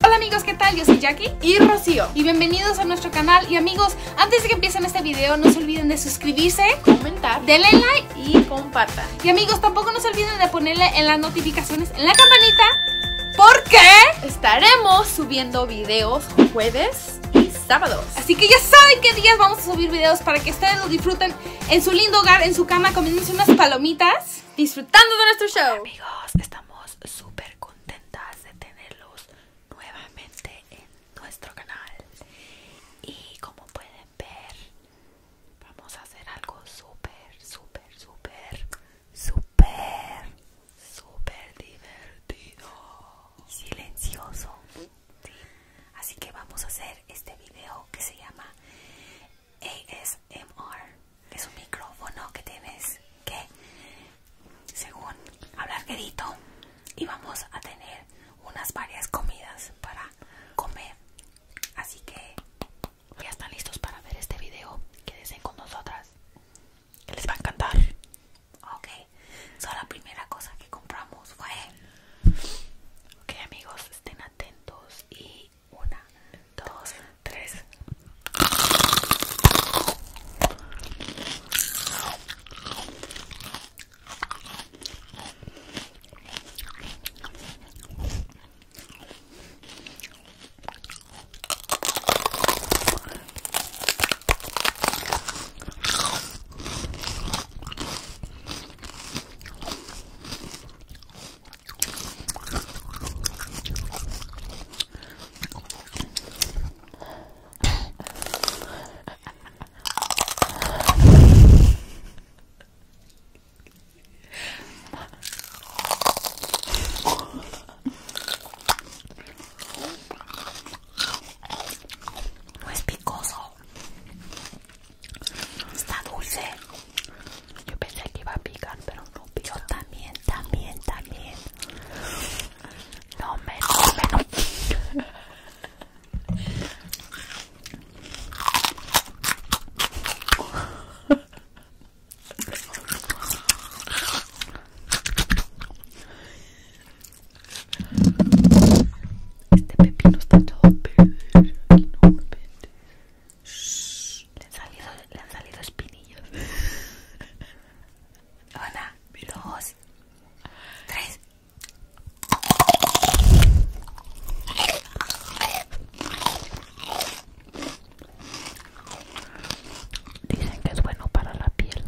Hola amigos, ¿qué tal? Yo soy Jackie y Rocío y bienvenidos a nuestro canal y amigos, antes de que empiecen este video no se olviden de suscribirse, comentar, denle like y compartir. Y amigos, tampoco no se olviden de ponerle en las notificaciones en la campanita porque estaremos subiendo videos jueves y sábados. Así que ya saben qué días vamos a subir videos para que ustedes lo disfruten en su lindo hogar, en su cama, comiéndose unas palomitas, disfrutando de nuestro show. Amigos, estamos súper contentas de tenerlos nuevamente en nuestro canal y como pueden ver vamos a hacer algo súper súper súper súper súper divertido silencioso así que vamos a hacer este video que se llama ASMR es un micrófono que tienes que, según, hablar querito y vamos a tener unas varias comidas para comer. Así que ya están listos para ver este video. Quédense con nosotras. Que les va a encantar. Ok. la primera cosa que compramos fue. Ok amigos, estén atentos y una, dos, tres. No es picoso, está dulce. Yo pensé que iba a picar, pero no pica. también, también, también. No me, no Este pepino está todo pepino No le han salido, le han salido espinillos. Una, dos, tres. Dicen que es bueno para la piel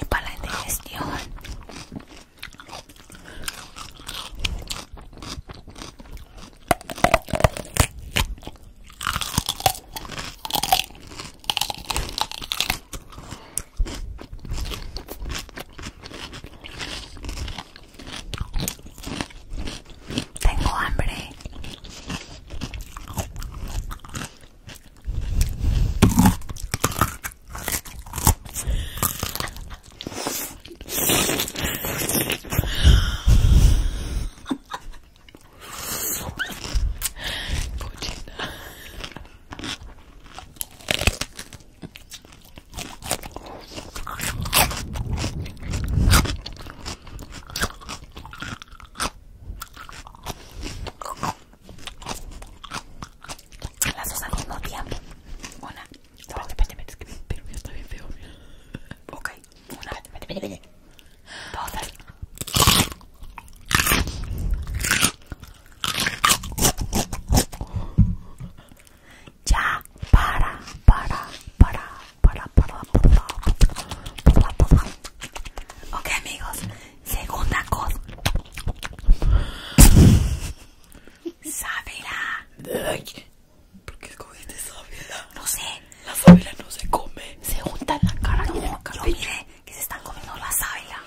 y para la indigestión tengo hambre. Cochina. Las dos al mismo está bien feo. Ok, una. Dos, Ya, para, para, para, para, para, para, para, para. Ok, amigos, segunda cosa. Sábela. ¿Por qué comiste sábela? No sé. La sábela no se come. Se junta en la cara no, y en que se están comiendo la sábela.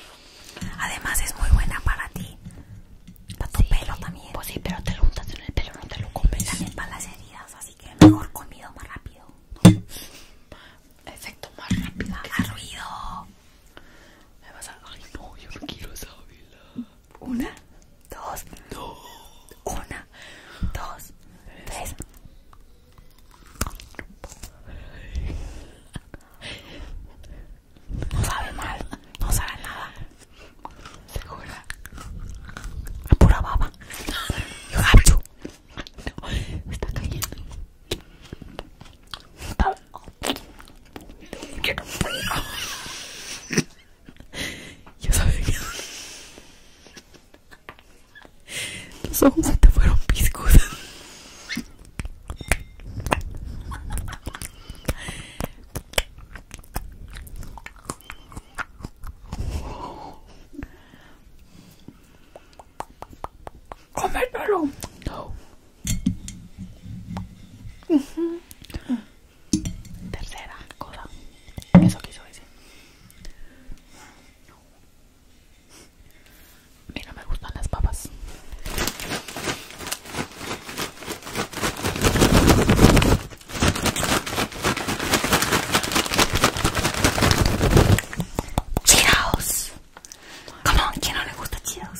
Además es muy buena para ti. Para tu pelo también. Pues sí, pero te lo juntas en el pelo, no te lo comes. También para las heridas, así que mejor comido más rápido. Efecto más rápido. ruido. Me vas a... Ay no, yo no quiero sábela. Una, dos, dos una, dos, tres. No sabe mal, no sabe nada. Segura. Pura baba. está cayendo. Yo sabía que los ojos se te fueron piscos. Cómetelo. No. Tercera cosa. Eso quiso decir. No. A mí no me gustan las papas. chidos ¿Cómo? ¿Quién no le gusta chidos?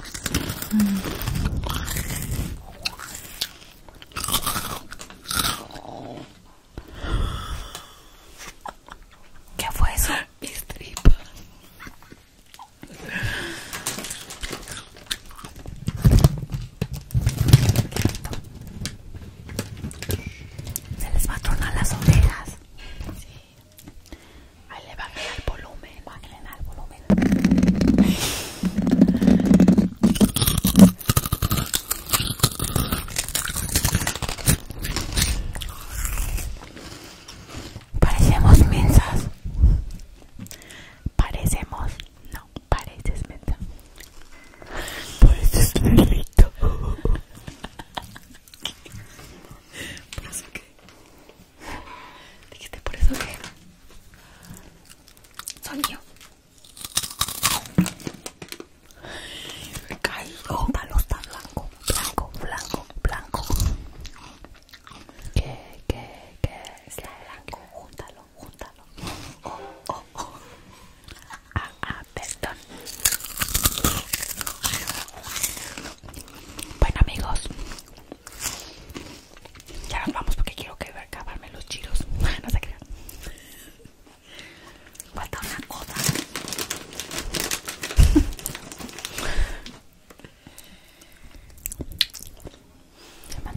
¿Qué fue eso? Mis tripas. Se les va a tronar las orejas. Sí. Ahí le bajen el volumen, bajen el volumen. Parecemos mensas. Parecemos, no, pareces mensa. Pareces perrito. Por Dijiste por eso que son yo. caigo, está blanco, blanco, blanco, blanco. que, está blanco, juntalo juntalo Oh, oh, oh. Ah, ah, bueno amigos, ya nos vamos porque quiero que acabarme los chiros. No se crean. Falta una cosa. Se me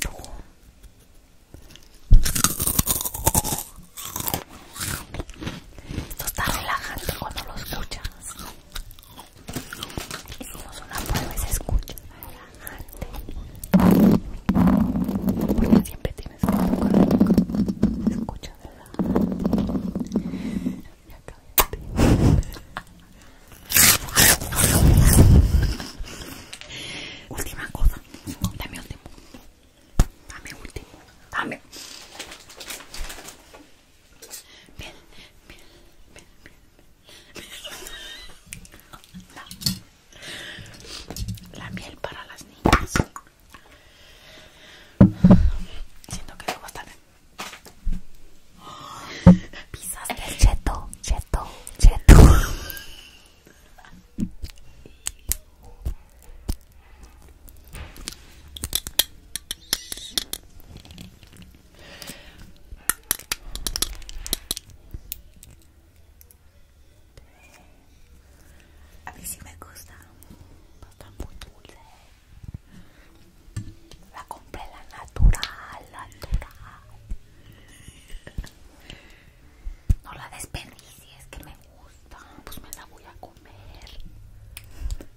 Esto está relajante cuando lo escuchas. Hicimos una prueba y se escucha relajante. Porque siempre tienes que tocar Se escucha relajante. Ya cállate. última cosa. Dame último. Dame último. Dame. Bien Bien la, miel para las niñas siento que luego a pisas del cheto cheto cheto a mí sí me gusta, está muy dulce. La compré la natural, la natural. No la es que me gusta. Pues me la voy a comer.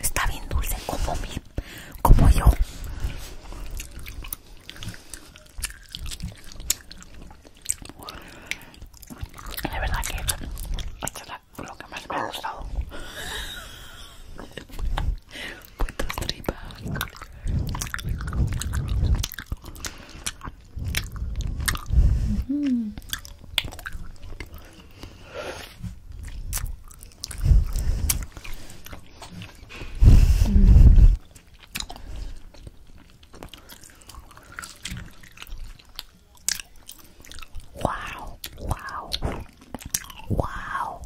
Está bien dulce como mi, como yo. de verdad que es lo que más me ha gustado. Wow, wow, wow.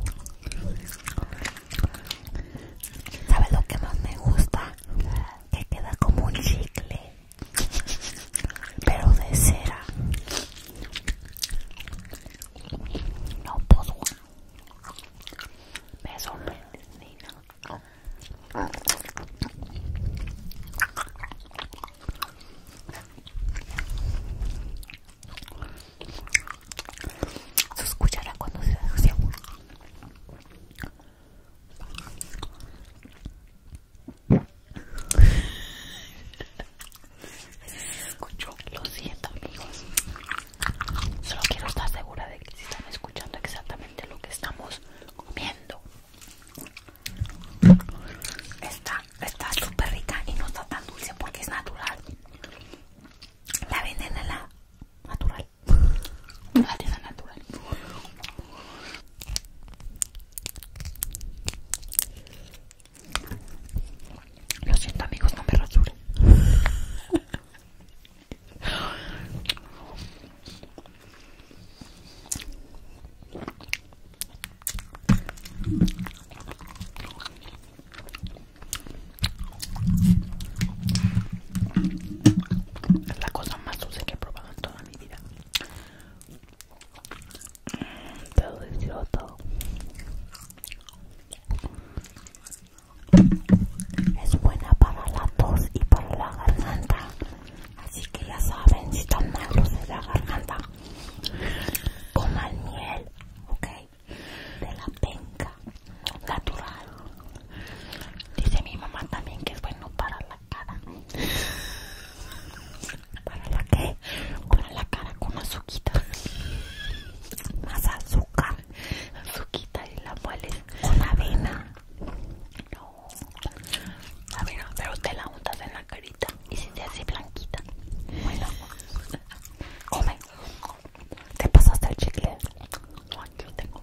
¿Sabes lo que más me gusta? que queda como un chicle, pero de cera. No puedo. Me sorprendí. Se escuchará cuando se desea escuchó lo siento amigos solo quiero estar segura de que si están escuchando exactamente lo que estamos comiendo está está súper rica y no está tan dulce porque es natural la venden la natural artisan natural lo siento amigos no me rasure Es la cosa más dulce que he probado en toda mi vida. Mm, es buena para la tos y para la garganta. Así que ya saben, si están malos de la garganta, coman miel, ok, de la penca natural. Dice mi mamá también que es bueno para la cara. ¿Para la qué? Para la cara con azúcar, Más azúcar. Azuquita y la mueles con avena. No. Avena, pero te la untas en la carita y si te hace blanquita. Bueno. Come. Te pasaste el chicle. aquí tengo.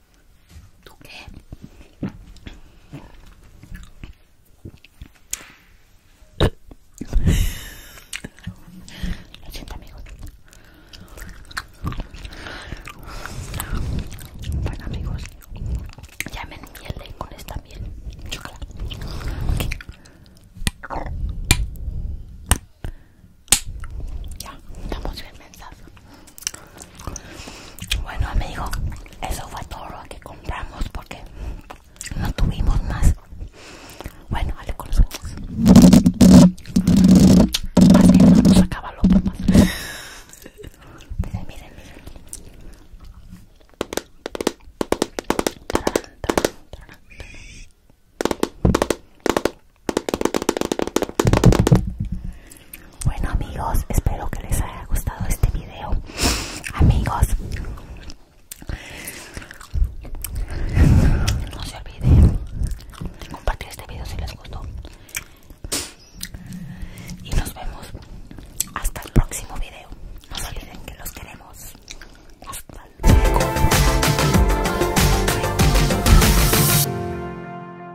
¿Tú qué? Lo siento, amigos. Bueno, amigos, ya me enmielé con esta miel. Chocolate. Ya, estamos bien mensados. Bueno dijo, eso fue todo lo que compramos porque no tuvimos más. Bueno, vale con los ojos. a no nos acaba los papás. Miren, miren, miren. tarán, tarán, bueno amigos, espero que les haya gustado este video. Amigos, no se olviden de compartir este video si les gustó. Y nos vemos hasta el próximo video. No se olviden que los queremos. Hasta luego.